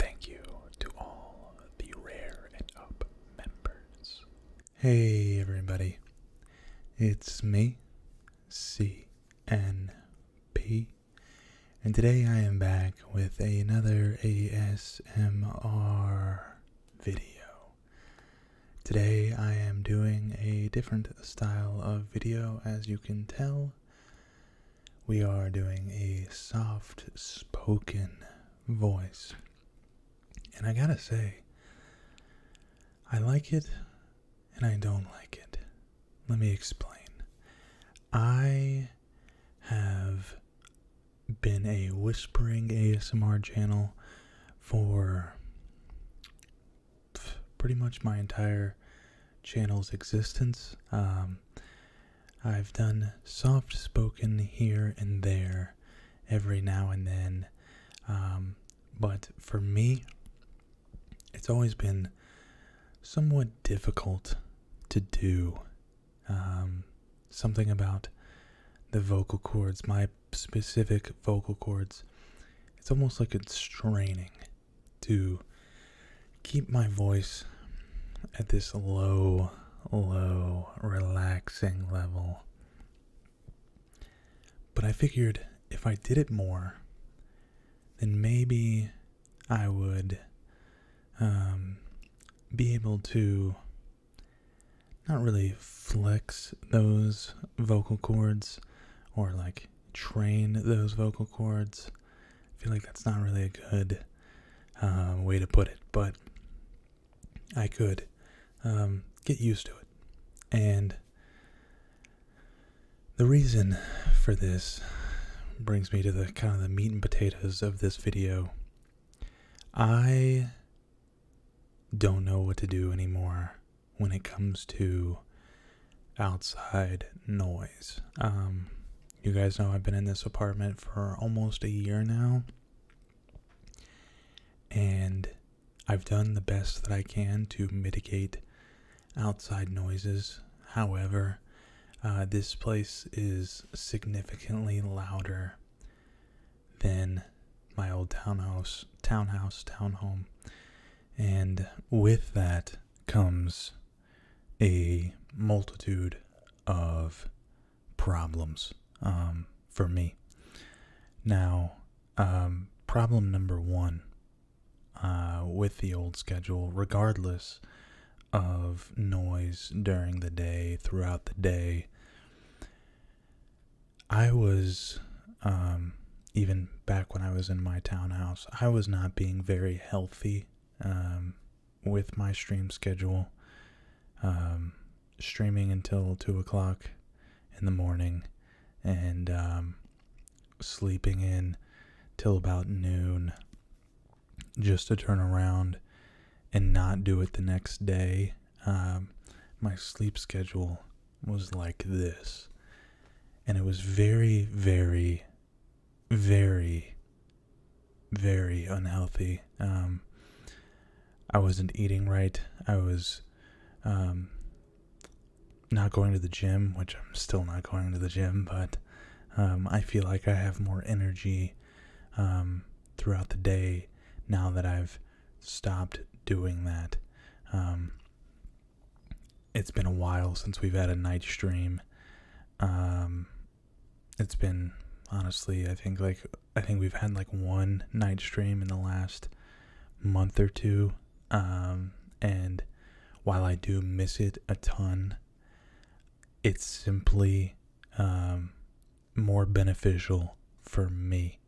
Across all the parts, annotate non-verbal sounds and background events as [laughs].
Thank you to all the Rare and Up members. Hey everybody, it's me, CNP, and today I am back with another ASMR video. Today I am doing a different style of video, as you can tell we are doing a soft spoken voice. And I gotta say, I like it and I don't like it. Let me explain. I have been a whispering ASMR channel for pretty much my entire channel's existence. Um, I've done soft spoken here and there every now and then. Um, but for me, it's always been somewhat difficult to do. Um, something about the vocal cords, my specific vocal cords. It's almost like it's straining to keep my voice at this low, low, relaxing level. But I figured if I did it more, then maybe I would um, be able to not really flex those vocal cords or like train those vocal cords I feel like that's not really a good uh, way to put it, but I could um, get used to it. And the reason for this brings me to the kind of the meat and potatoes of this video. I don't know what to do anymore when it comes to outside noise. Um, you guys know I've been in this apartment for almost a year now. And I've done the best that I can to mitigate outside noises. However, uh, this place is significantly louder than my old townhouse, townhouse, townhome. And with that comes a multitude of problems um, for me. Now, um, problem number one uh, with the old schedule, regardless of noise during the day, throughout the day, I was, um, even back when I was in my townhouse, I was not being very healthy with my stream schedule, um, streaming until two o'clock in the morning, and um, sleeping in till about noon, just to turn around and not do it the next day. Um, my sleep schedule was like this, and it was very, very, very very unhealthy. Um, I wasn't eating right. I was um, not going to the gym, which I'm still not going to the gym, but um, I feel like I have more energy throughout the day now that I've stopped doing that. it's been a while since we've had a night stream it's been honestly, I think like I think we've had like one night stream in the last month or two. Um, and while I do miss it a ton, it's simply um, more beneficial for me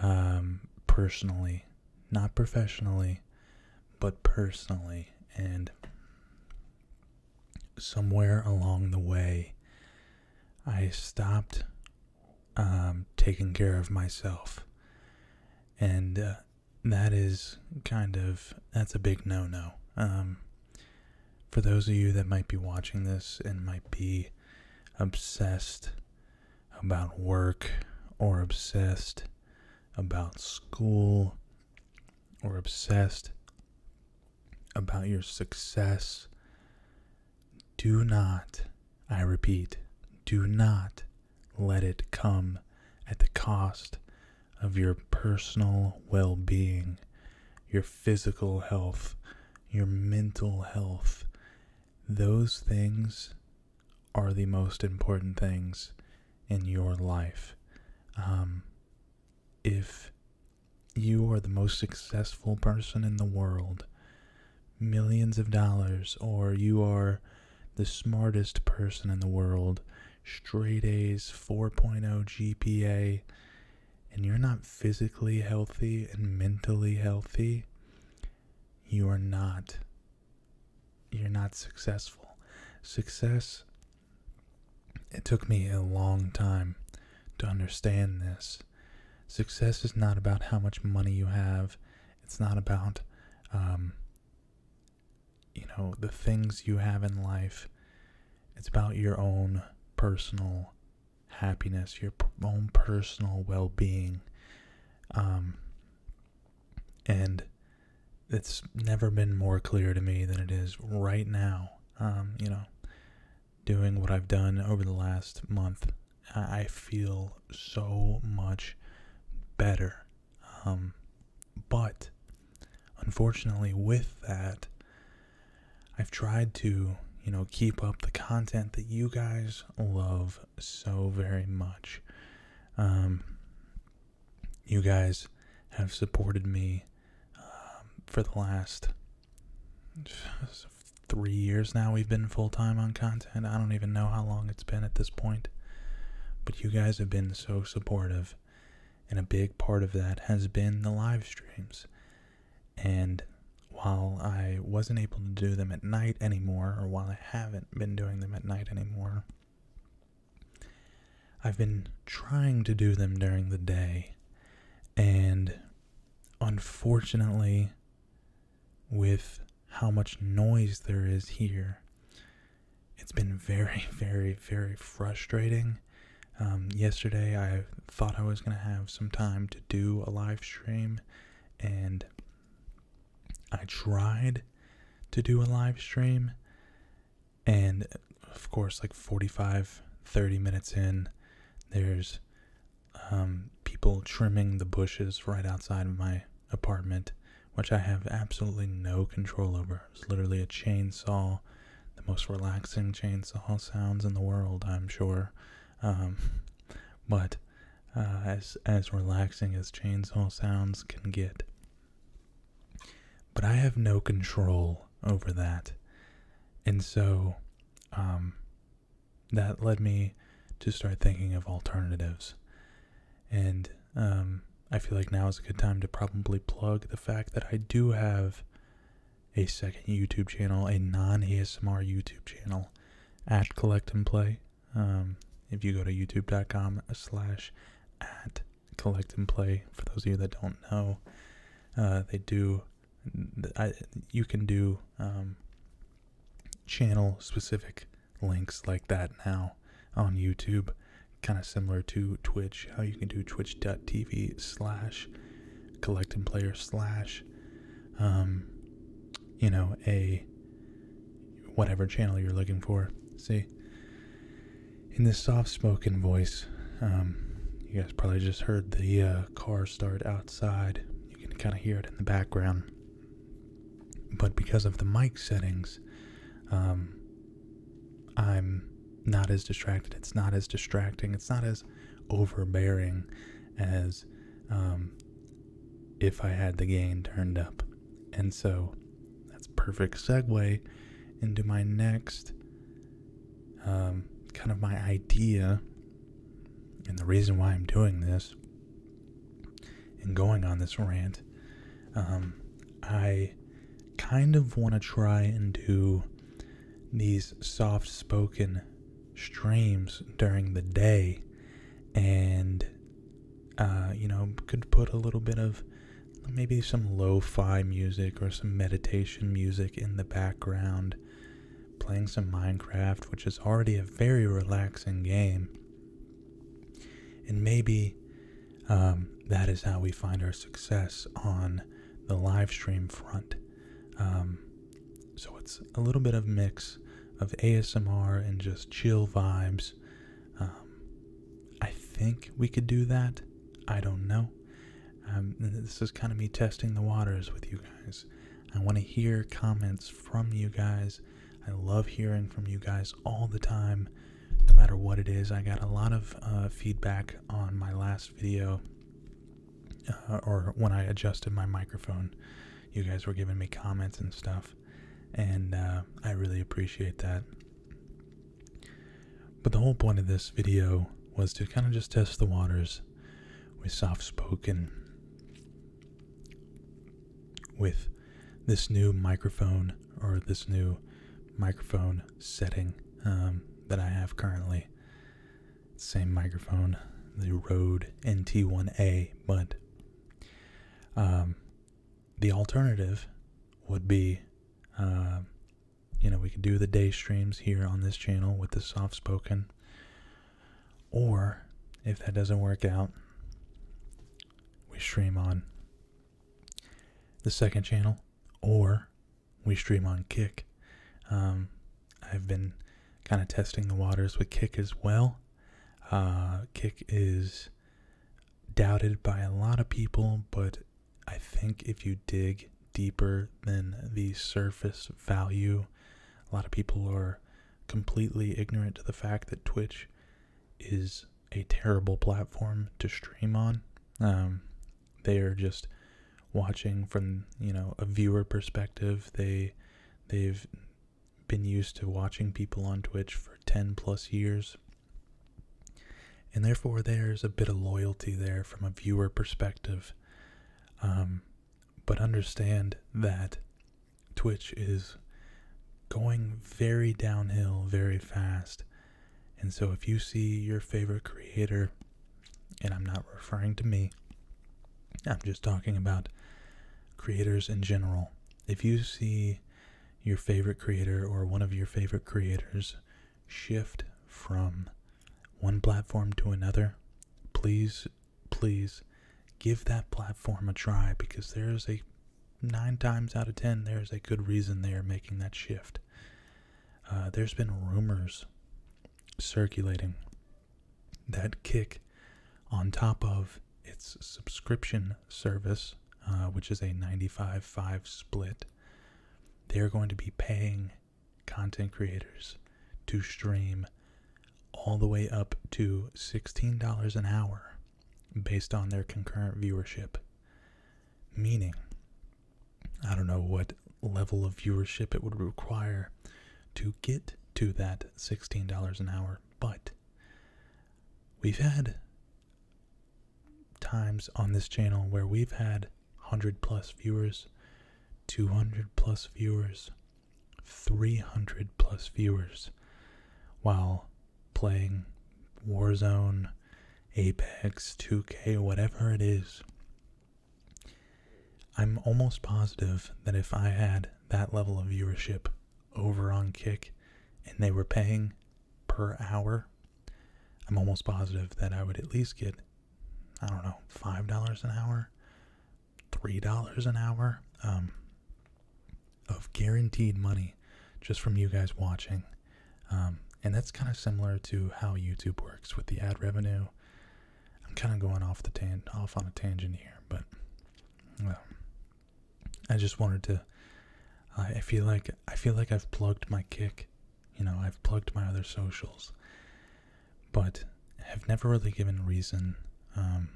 um, personally, not professionally, but personally. And somewhere along the way, I stopped um, taking care of myself. And uh, that is kind of, that's a big no no. Um, for those of you that might be watching this and might be obsessed about work or obsessed about school or obsessed about your success. Do not, I repeat, do not let it come at the cost of your personal well being, your physical health, your mental health. Those things are the most important things in your life. Um, if you are the most successful person in the world, millions of dollars, or you are the smartest person in the world, straight A's, 4.0 GPA, and you're not physically healthy and mentally healthy, you are not you're not successful. Success it took me a long time to understand this. Success is not about how much money you have, it's not about, um, you know, the things you have in life. It's about your own personal happiness, your own personal well being. Um, and it's never been more clear to me than it is right now um, you know, doing what I've done over the last month, I feel so much better. Um, but unfortunately, with that, I've tried to, you know, keep up the content that you guys love so very much. Um, you guys have supported me um, for the last [sighs] three years now, we've been full time on content. I don't even know how long it's been at this point. But you guys have been so supportive. And a big part of that has been the live streams. And while I wasn't able to do them at night anymore, or while I haven't been doing them at night anymore, I've been trying to do them during the day, and unfortunately, with how much noise there is here, it's been very, [laughs] very, very frustrating. Um, yesterday, I thought I was going to have some time to do a live stream, and I tried to do a live stream, and of course like 45 30 minutes in there's um, people trimming the bushes right outside of my apartment which i have absolutely no control over it's literally a chainsaw the most relaxing chainsaw sounds in the world i'm sure um, but uh, as as relaxing as chainsaw sounds can get but I have no control over that. And so um, that led me to start thinking of alternatives. And um, I feel like now is a good time to probably plug the fact that I do have a second YouTube channel, a non ASMR YouTube channel at Collect and Play. Um, if you go to youtube.com slash at collect and play. For those of you that don't know, uh, they do. you can do um, channel specific links like that now on YouTube, kind of similar to Twitch. How you can do twitch.tv slash collect and player slash, um, you know, a whatever channel you're looking for. See, in this soft spoken voice. Um, you guys probably just heard the uh, car start outside. You can kind of hear it in the background. But because of the mic settings, um, I'm not as distracted. It's not as distracting. It's not as overbearing as um, if I had the gain turned up. And so that's perfect segue into my next um, kind of my idea and the reason why I'm doing this and going on this rant. Um, I kind of want to try and do these soft spoken streams during the day and, uh, you know, could put a little bit of maybe some lo fi music or some meditation music in the background, playing some Minecraft, which is already a very relaxing game. And maybe um, that is how we find our success on the live stream front. Um, so it's a little bit of mix of ASMR and just chill vibes. Um, I think we could do that. I don't know. Um, this is kind of me testing the waters with you guys. I want to hear comments from you guys. I love hearing from you guys all the time, no matter what it is. I got a lot of uh, feedback on my last video, uh, or when I adjusted my microphone. You guys were giving me comments and stuff, and uh, I really appreciate that. But the whole point of this video was to kind of just test the waters with soft spoken, with this new microphone or this new microphone setting um, that I have currently. Same microphone, the Rode NT1A, but um, the alternative would be uh, you know, we can do the day streams here on this channel with the soft spoken. Or if that doesn't work out, we stream on the second channel or we stream on Kick. Um, I've been kind of testing the waters with Kick as well. Uh, Kick is doubted by a lot of people, but I think if you dig deeper than the surface value, a lot of people are completely ignorant to the fact that Twitch is a terrible platform to stream on. Um, they are just watching from you know a viewer perspective. They they've been used to watching people on Twitch for ten plus years, and therefore there's a bit of loyalty there from a viewer perspective. Um, but understand that Twitch is going very downhill very fast. And so if you see your favorite creator, and I'm not referring to me, I'm just talking about creators in general. If you see your favorite creator or one of your favorite creators shift from one platform to another, please, please give that platform a try because there is a nine times out of ten, there is a good reason they are making that shift. Uh, there's been rumors circulating that Kick, on top of its subscription service, uh, which is a 95 5 split, they're going to be paying content creators to stream all the way up to $16 an hour based on their concurrent viewership. Meaning, I don't know what level of viewership it would require to get to that $16 an hour, but we've had times on this channel where we've had 100 plus viewers, 200 plus viewers, 300 plus viewers while playing Warzone, Apex, 2K, whatever it is. I'm almost positive that if I had that level of viewership over on Kick and they were paying per hour, I'm almost positive that I would at least get I don't know, five dollars an hour, three dollars an hour um, of guaranteed money just from you guys watching. Um, and that's kind of similar to how YouTube works with the ad revenue. I'm kind of going off the tan off on a tangent here, but well, um, I just wanted to. I feel like I feel like I've plugged my kick you know, I've plugged my other socials, but have never really given reason um,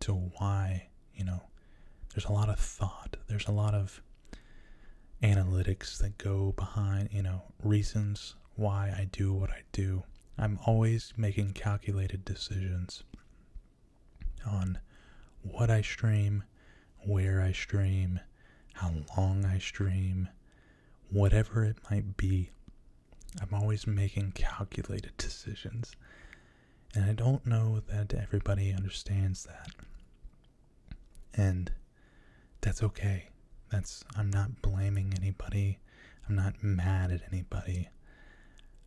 to why, you know, there's a lot of thought, there's a lot of analytics that go behind, you know, reasons why I do what I do. I'm always making calculated decisions on what I stream, where I stream, how long I stream, whatever it might be. I'm always making calculated decisions. And I don't know that everybody understands that. And that's okay. That's I'm not blaming anybody. I'm not mad at anybody.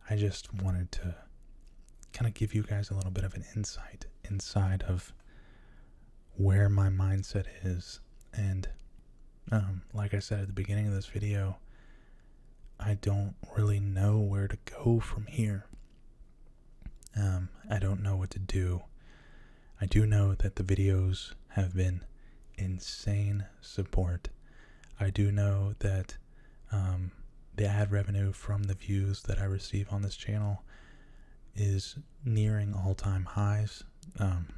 I just wanted to kind of give you guys a little bit of an insight inside of where my mindset is. And um, like I said at the beginning of this video, I don't really know where to go from here. Um, I don't know what to do. I do know that the videos have been insane support. I do know that um, the ad revenue from the views that I receive on this channel is nearing all-time highs. Um,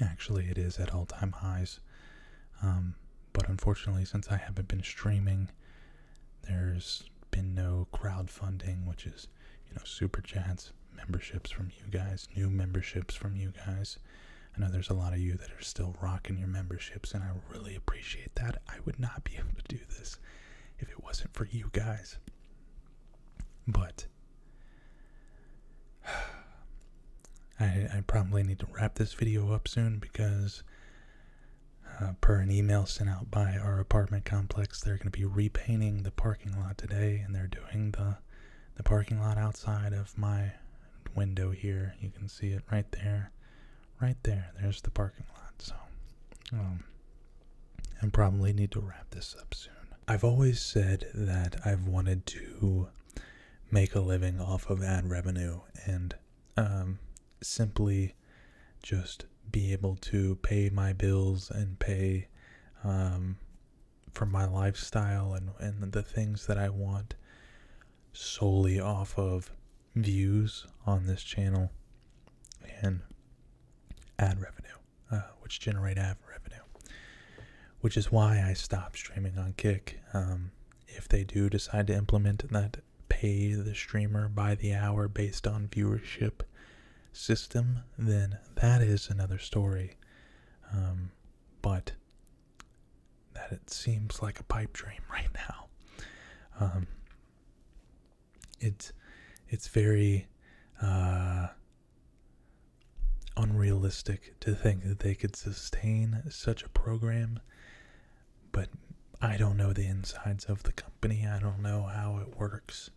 actually, it is at all-time highs. Um, but unfortunately, since I haven't been streaming, there's been no crowdfunding, which is you know super chats, memberships from you guys, new memberships from you guys. I know there's a lot of you that are still rocking your memberships, and I really appreciate that. I would not be able to do this if it wasn't for you guys. But [sighs] I, probably need to wrap this video up soon because, uh, per an email sent out by our apartment complex, they're going to be repainting the parking lot today, and they're doing the the parking lot outside of my window here. You can see it right there, right there. There's the parking lot. So, um, and probably need to wrap this up soon. I've always said that I've wanted to make a living off of ad revenue and um, simply just be able to pay my bills and pay um, for my lifestyle and, and the things that I want solely off of views on this channel and ad revenue. Uh, which generate ad revenue. Which is why I stopped streaming on Kick. Um, if they do decide to implement that pay the streamer by the hour based on viewership system, then that is another story. Um, but that it seems like a pipe dream [laughs] right now. Um, it it's very uh, unrealistic to think that they could sustain such a program. But I don't know the insides of the company. I don't know how it works.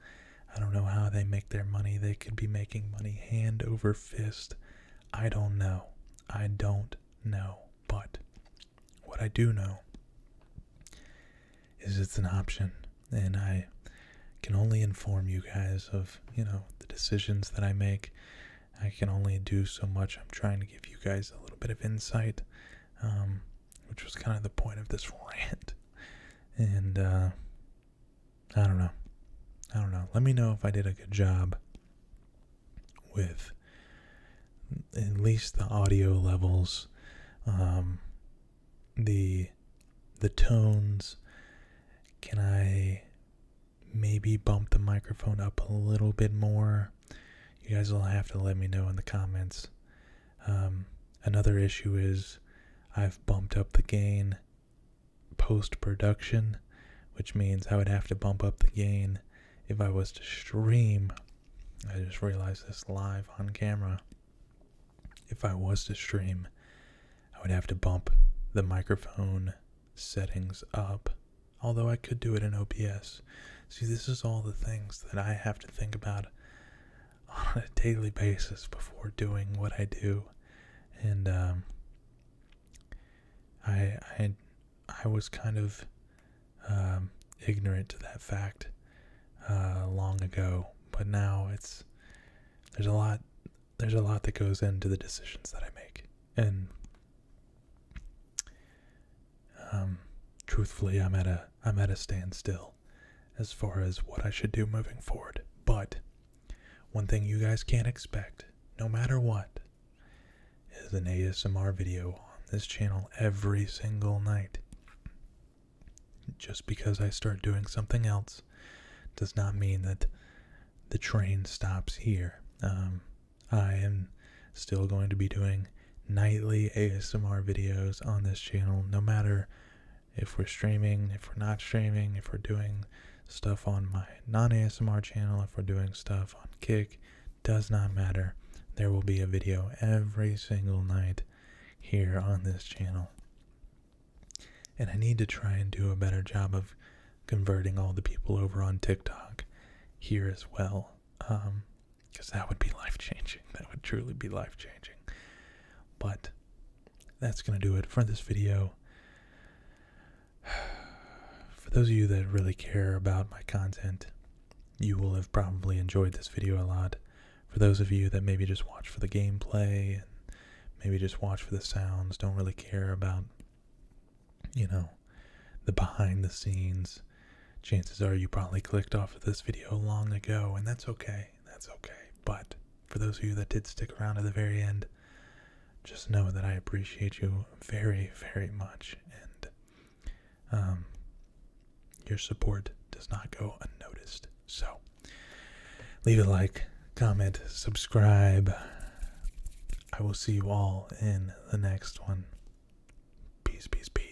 I don't know how they make their money. They could be making money hand over fist. I don't know. I don't know. But what I do know is it's an option and I can only inform you guys of, you know, the decisions that I make. I can only do so much. I'm trying to give you guys a little bit of insight, um, which was kind of the point of this [laughs] rant. And uh, I don't know. I don't know. Let me know if I did a good job with mm, at least the audio levels. Um, the the tones can i maybe bump the microphone up a little bit more you guys will have to let me know in the comments um, another issue is i've bumped up the gain post production which means i would have to bump up the gain if i was to stream i just realized this live on camera if I was to stream, I would have to bump the microphone settings up. Although I could do it in OBS. See, this is all the things that I have to think about on a daily basis before doing what I do. And um, I, I, was kind of um, ignorant to that fact uh, long ago, but now it's there's a lot there's a lot that goes into the decisions that I make. And um, truthfully I'm at a I'm at a standstill as far as what I should do moving forward. But one thing you guys can't expect, no matter what, is an ASMR video on this channel every single night. Just because I start doing something else does not mean that the train stops here. Um, I am still going to be doing nightly ASMR videos on this channel, no matter if we're streaming, if we're not streaming, if we're doing stuff on my non ASMR channel, if we're doing stuff on Kick, does not matter. There will be a video every single night here on this channel. And I need to try and do a better job of converting all the people over on TikTok here as well. because um, that would be life changing. [laughs] That would truly be life changing. But that's going to do it for this video. [sighs] For those of you that really care about my content, you will have probably enjoyed this video a lot for those of you that maybe just watch for the gameplay and maybe just watch for the sounds, don't really care about, you know, the behind the scenes, chances are you probably clicked off of this video long ago, and that's okay. That's okay. But for those of you that did stick around to the very end, just know that I appreciate you very, very much, and um, your support does not go unnoticed. So, Leave a like, comment, subscribe. I will see you all in the next one. Peace, peace, peace.